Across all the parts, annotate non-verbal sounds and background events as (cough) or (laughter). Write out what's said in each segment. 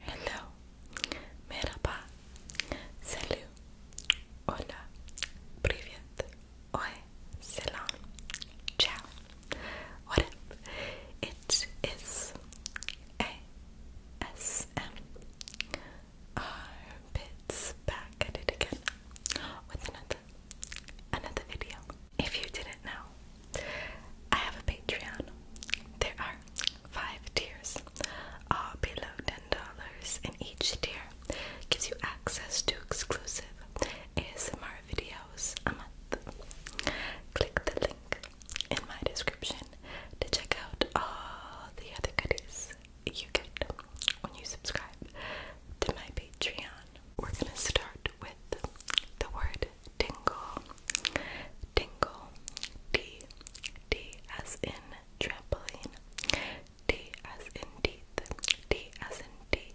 Hello, merhaba, salut, hola, привет, oi, selam, ciao, what up? It is ASMR Bits back at it again with another another video. If you didn't know, I have a Patreon. There are five tiers, all uh, below $10 and each tier, gives you access to exclusive ASMR videos a month. Click the link in my description to check out all the other goodies you get when you subscribe to my Patreon. We're gonna start with the word word tingle. Tingle. D. D as in trampoline. D as in teeth. D as in teeth.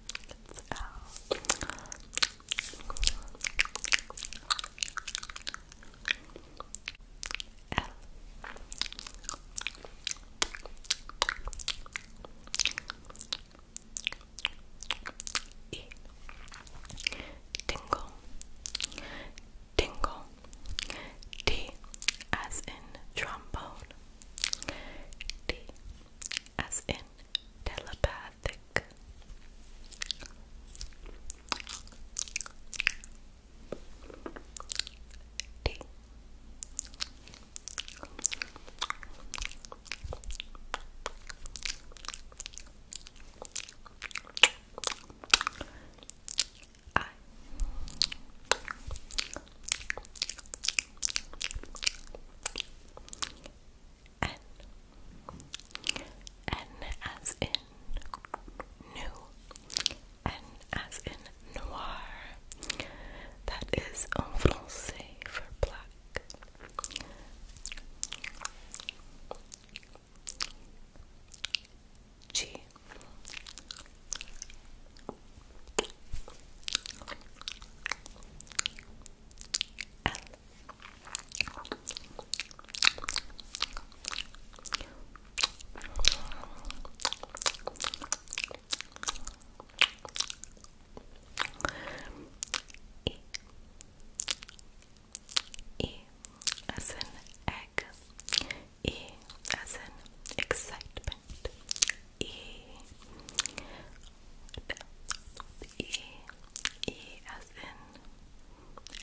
It's Tingle. Tingle. T as in trombone. T as in telepathic. T. I. N. N as in new. N as in noir. That is en français for black. G. L. E. E as an egg, E as an excitement, E, E,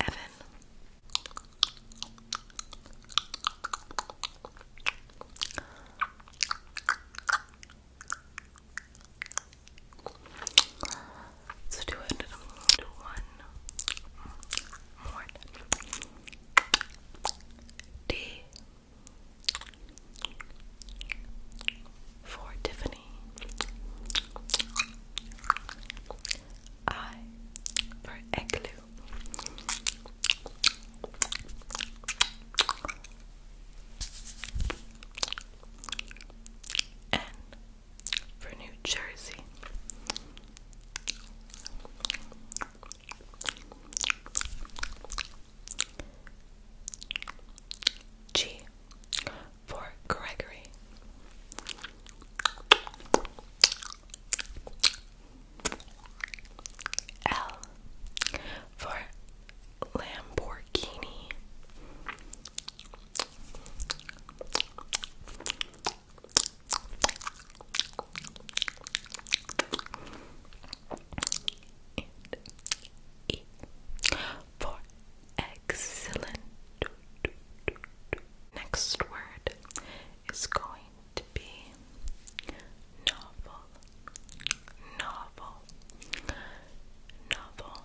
Evan. So do it. one more. D. For Tiffany, I for Igloo, N for New Jersey. G for Gregory. L for Lamborghini for excellent. Next word is going to be novel, novel, novel.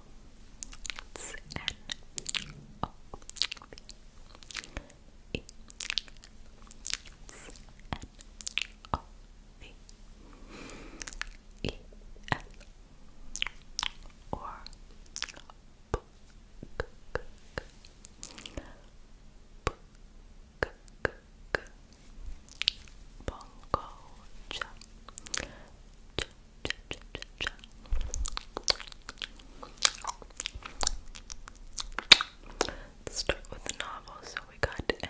V E L or book book Bongo cha cha cha cha cha Let's start with the novel so we got N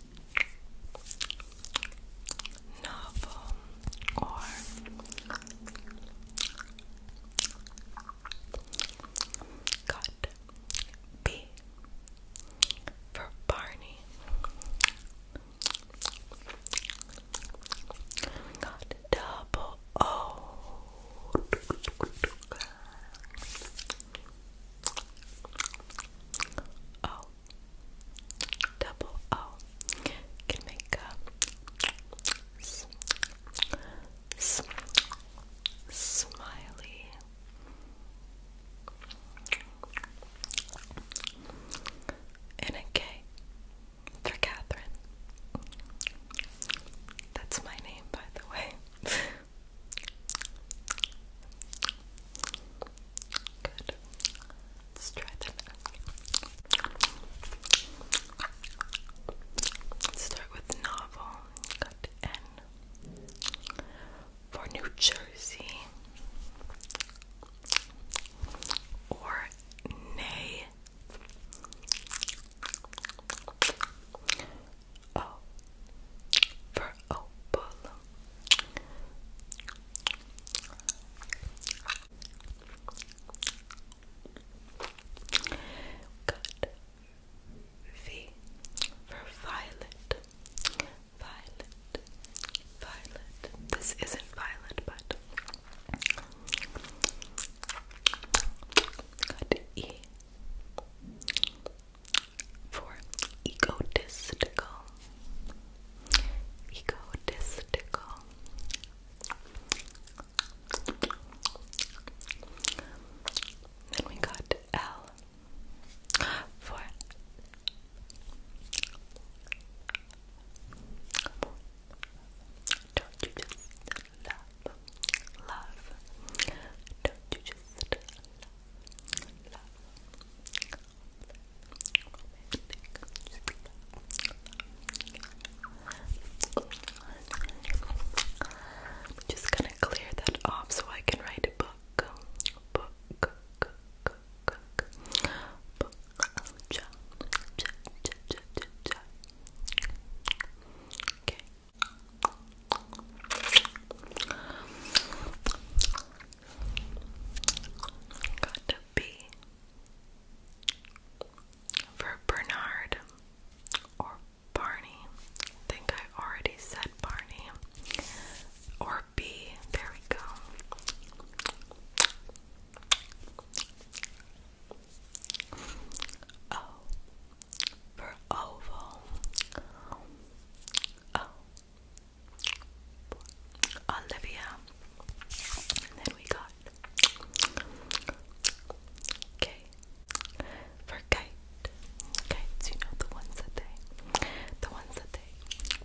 novel or cut B for Barney. double O double O can make a s s smiley and a K for Catherine. That's my name, by the way. (laughs) Good. Let's try them start with novel. N for New Jersey or nay. Oh, for opal. Got V for violet, violet, violet. This isn't violet, but for egotistical, egotistical. Then we got L for don't you just love, love? Don't you just love, love, I'm just gonna clear that off so I can write a book. Book, book, book, book. Book. Okay. Got to be for Bernard or Barney. think I already said Barney. Or B. There we go. O for oval. O Olivia. then we got K for kite. Kites, you know the ones that they the ones that they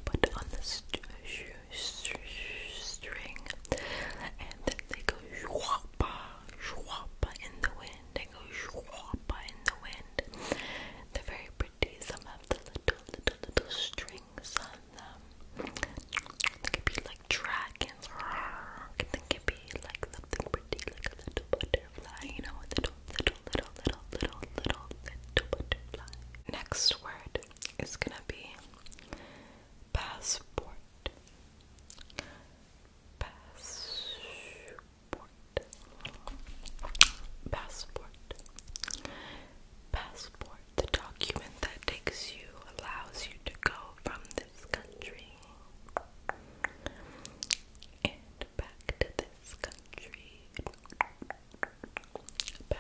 put on the string and then they go shwapa, shwapa in the wind. They go shwapa in the wind. They're very some have the little, little, little strings on them. They could be like dragons. They could be like something pretty, like a little butterfly. You know, a little, little, little, little, little, little, butterfly. Next word is gonna be passport. Passport. Passport. Passport. Passport. The document that takes you, allows you to go from this country and back to this country. Passport.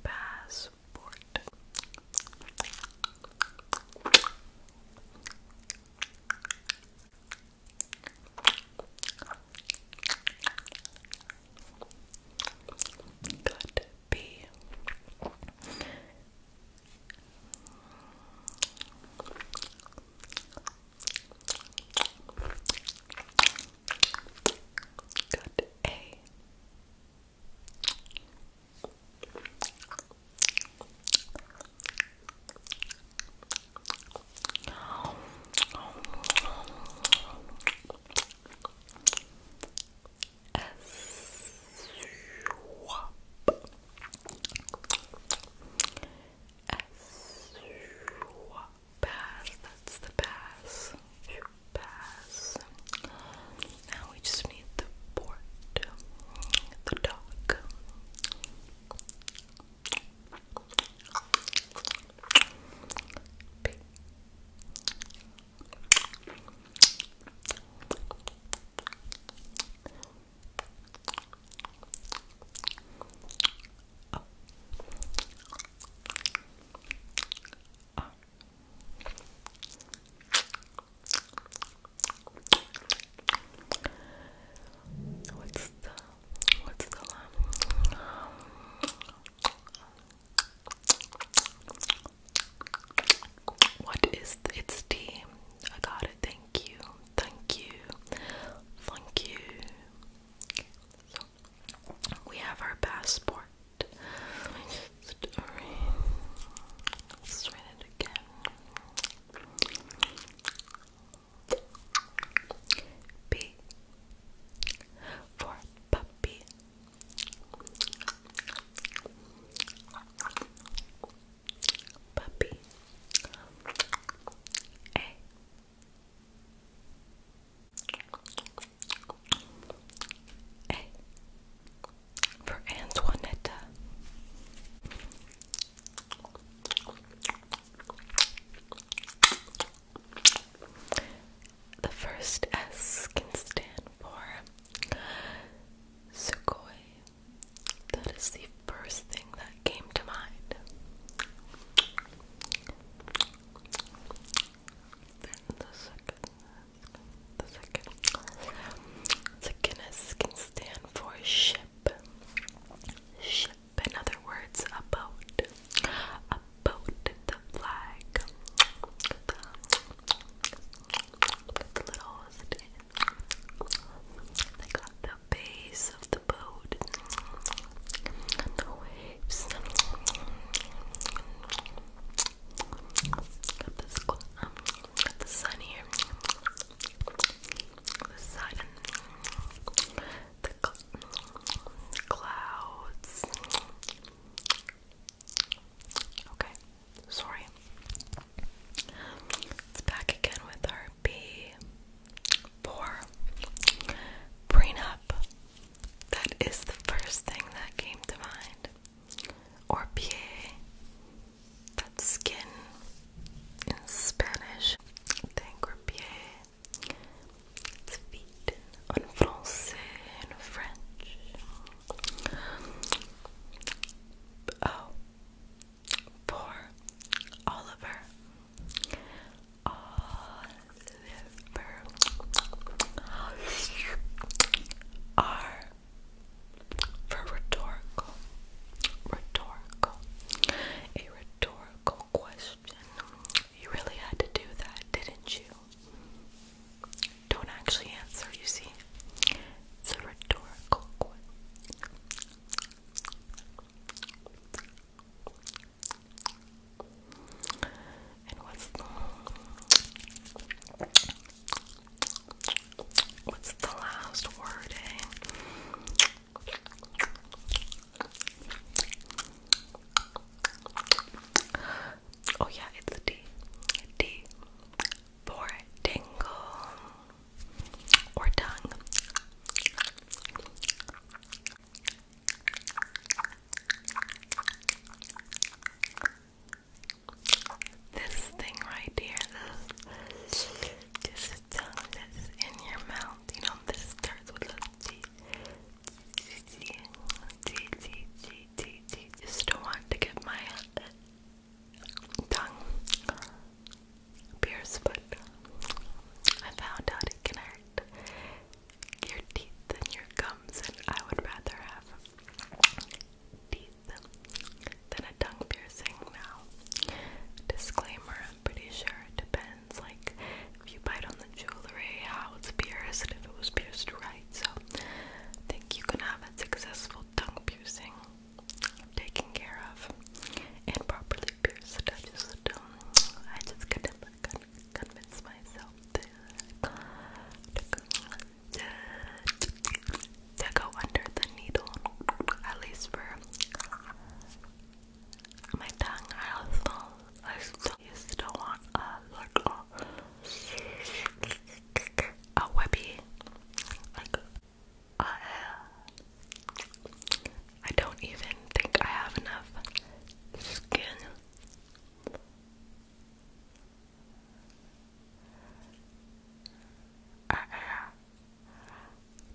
Passport. Passport. Could be. Good A. Pass, that's the pass. You pass. Now we just need the port, the dock. Oh. Oh. What's the what's the What is it's tea? got it. Thank you. Thank you. Thank you. we have our passport. Let's read it again. P for puppy. Puppy. A. A for Antoinetta. The first S can stand for Sukoi. That is the first thing that came to mind. the second, the second, the second S can stand for Shin ship. in other words, a boat. A boat, the flag, the, the the base of the boat, the waves. Um, the sun here the sun, the clouds. Okay, sorry. It's back again with our B four prenup. That is the first thing that came to mind. Or PA. That's skin in Spanish, Tangre pied, it's feet, en in French. Oh, for Oliver. Oliver. R for rhetorical. Rhetorical. A rhetorical question. You really had to do that, didn't you? Don't actually answer, you see. It's a rhetorical question. And what's the, last word, eh? Oh yeah, it's D. for tingle or tongue. This thing right here, this is tongue that's in your mouth. You know, this starts with a T. T, T, T, T, T, T. Just don't want to get my uh, tongue pierced, but I found out it can hurt your teeth and your gums, and I would rather have teeth than tongue piercing now. Disclaimer, I'm pretty sure it depends, like, if you bite on the jewelry, how it's pierced, if it was pierced right, so think you can have a successful tongue piercing taken care of and properly pierced. I just, um, I just couldn't convince myself to, to go under the needle, at least for my tongue. I also, I still used to want a like a, webby, like uh, I don't even think I have enough skin. Uh, uh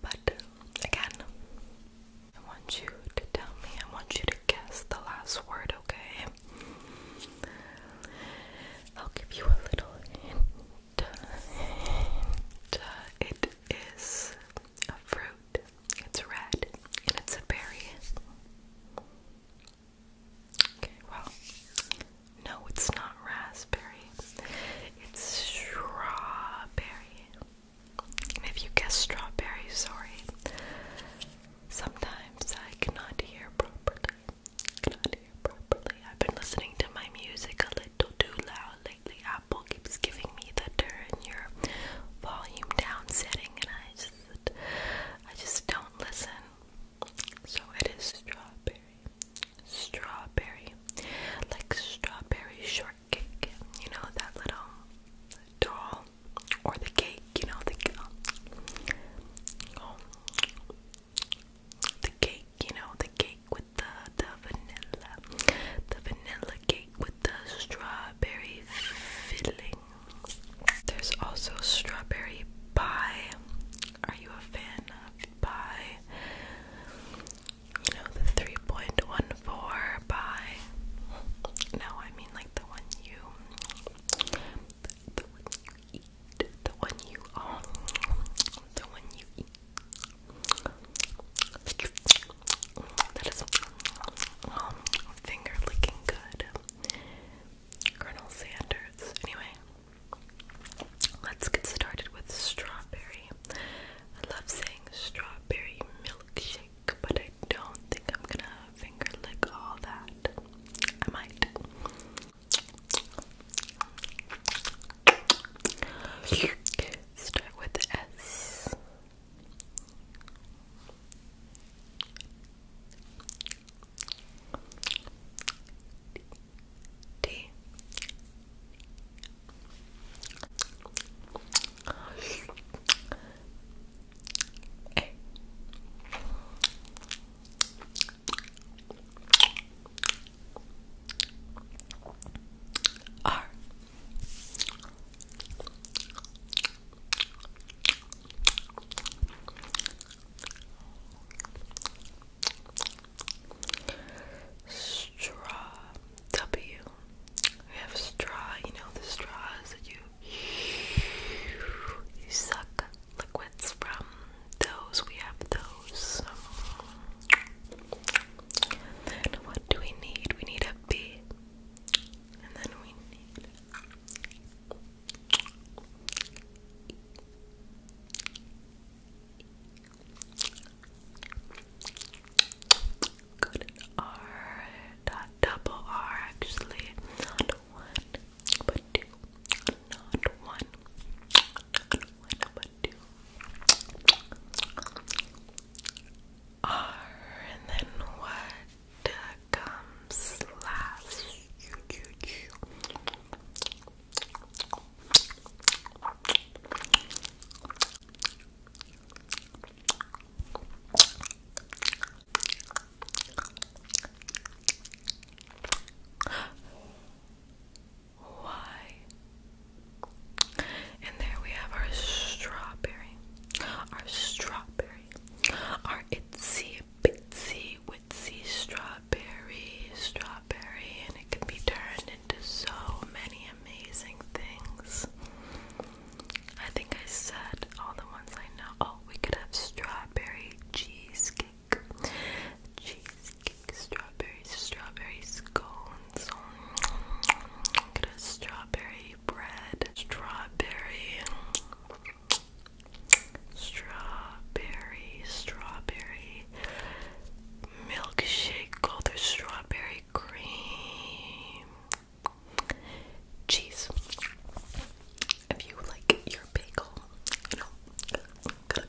but again, I want you to tell me, I want you to guess the last word, okay? I'll give you a little hint. It is a fruit, it's red, and it's a berry. Okay, well, no, it's not raspberry. It's strawberry. if you guess strawberry, sorry. Sometimes I cannot hear properly. Cannot hear properly. I've been listening to my music a little too loud lately. Apple keeps giving me the turn your volume down setting, and I just, I just don't listen. So it is strawberry strawberry, like strawberry shortcake, you know, that little doll, or the cake, you know, the, the cake, you know, the cake with the, the vanilla, the vanilla cake with the strawberry filling. There's also strawberry pie. Are you a fan of pie? you know, the 3.14 by. No, I mean like the one you. The, one you eat. The one you own. Um, the one you eat. That is um, finger licking good. Colonel Sanders. Anyway, let's get started with strawberry. I love saying strawberry milkshake, but I don't think I'm gonna finger lick all that. I might. Start with S tea straw W. We have straw, you know the straws that you you suck liquids from. Those we have those. what do we need? We need a B. And then we need Good R, double R actually, not one, but two, not one, but two. R, and then what comes last? you. Why? And there we have our strawberry, our strawberry, our itsy bitsy witsy strawberry, strawberry, and it can be turned so many amazing things. I think I said all the ones I know. Oh, we could have strawberry cheesecake, cheesecake, strawberry, strawberry scones. We could strawberry bread, strawberry, strawberry, strawberry milkshake called their strawberry cream cheese. If you like your bagel, got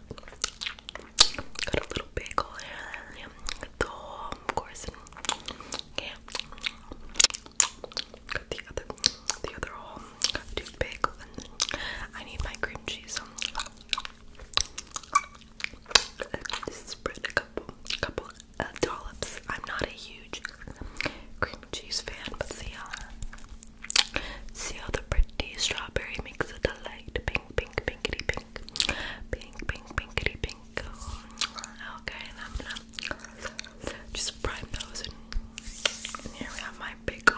a, little bagel um, of course, yeah, got the other, the other whole, um, I need my cream cheese spread a couple, couple uh, dollops. I'm not a huge cream cheese fan, but see how, see how the pretty strawberry makes it a pink, pink, pinkity pink, pink, pink, pinkity pink. Okay, and I'm gonna just prime those, and, here we have my big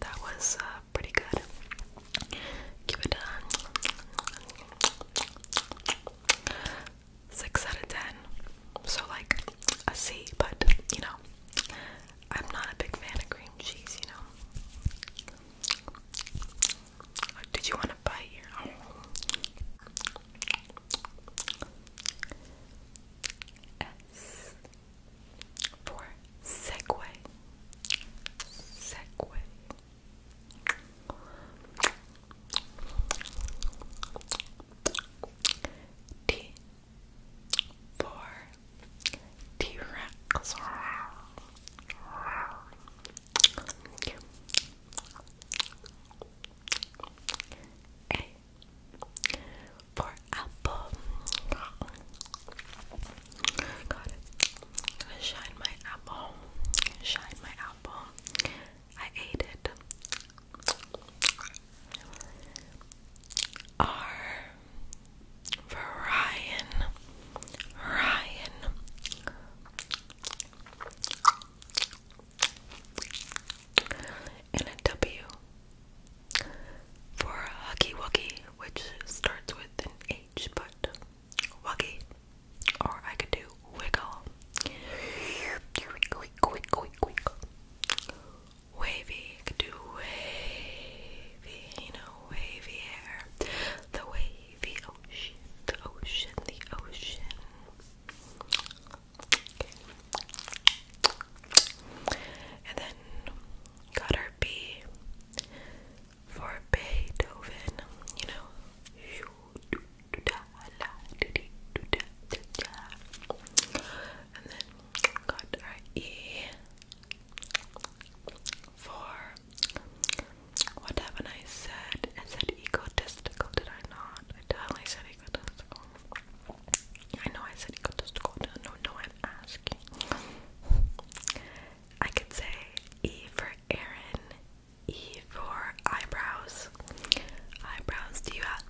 That was uh, up pretty good. Give it a six out of ten. So like a C, but you know, I'm not a big fan of cream cheese, you know. Did you want to bite your own? S for Segway. Segway. T for T Rex. A for apple. Got it. Shine my apple. Shine my apple. I ate it. R for Ryan. Ryan. And a W for Huggy Wuggy, which starts with an H, but Wuggy, or I could do Wiggle. Wiggle, wiggle, wiggle. Wavy, I could do wavy, you know, wavy hair. The wavy ocean, the ocean, the ocean. Okay. And then got our B for Beethoven, you know. And then got our E for what haven't I said? I said egotistical, did I not? I definitely said egotistical. I know I said Ikotosukoda, no, no, I'm asking. I could say E for Aaron, E for eyebrows. Eyebrows, do you have,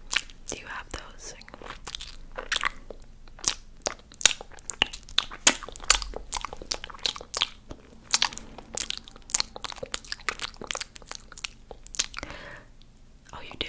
do you have those? Oh, you do?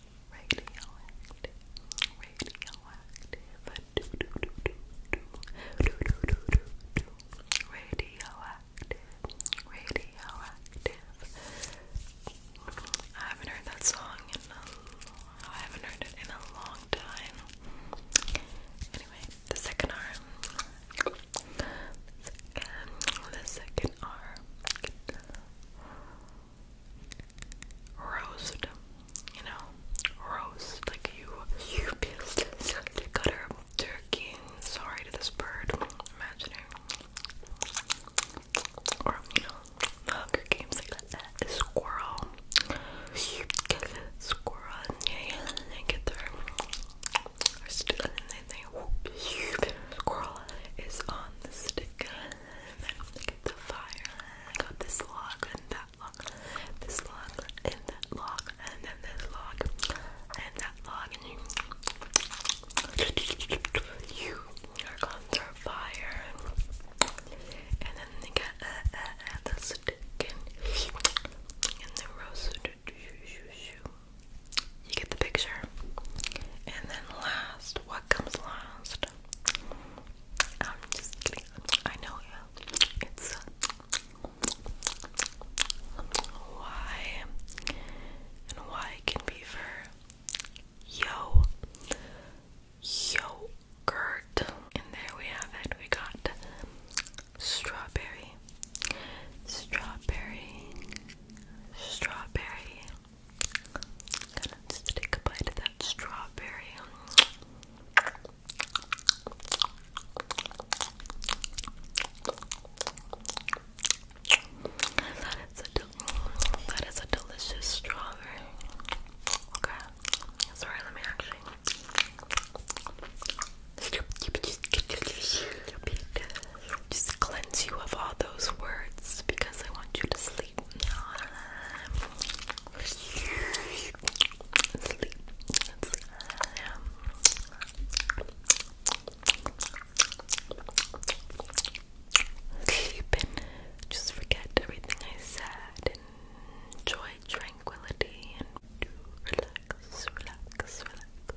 radioactive, radioactive, radioactive, radioactive. I haven't heard that song in a, I haven't heard it in a long time. Anyway, the second arm. The second, the second arm roast, you know, roast. Like you, you pierce this gutter of turkey. Sorry to this bird. Imagining, or you know, Hunger like that. squirrel, squirrel, yeah, they get their, still, Squirrel is on the sticker. Look at the fire. I got this log and that log, this log and that log, and then this log and that log, and you, you are fire. And then they got the stick and the rose. You get the picture. And then last, what comes last? I'm just kidding. I know yeah. It's uh, why and why can be for yo yogurt. And there we have it. We got strawberry, strawberry, strawberry, Gonna just take a bite of that strawberry. That is a that is a delicious strawberry. Okay, sorry. Let me actually. cleanse you of all those words because I want you to sleep. Sleep. just forget everything I said and enjoy tranquility and do relax, relax, relax.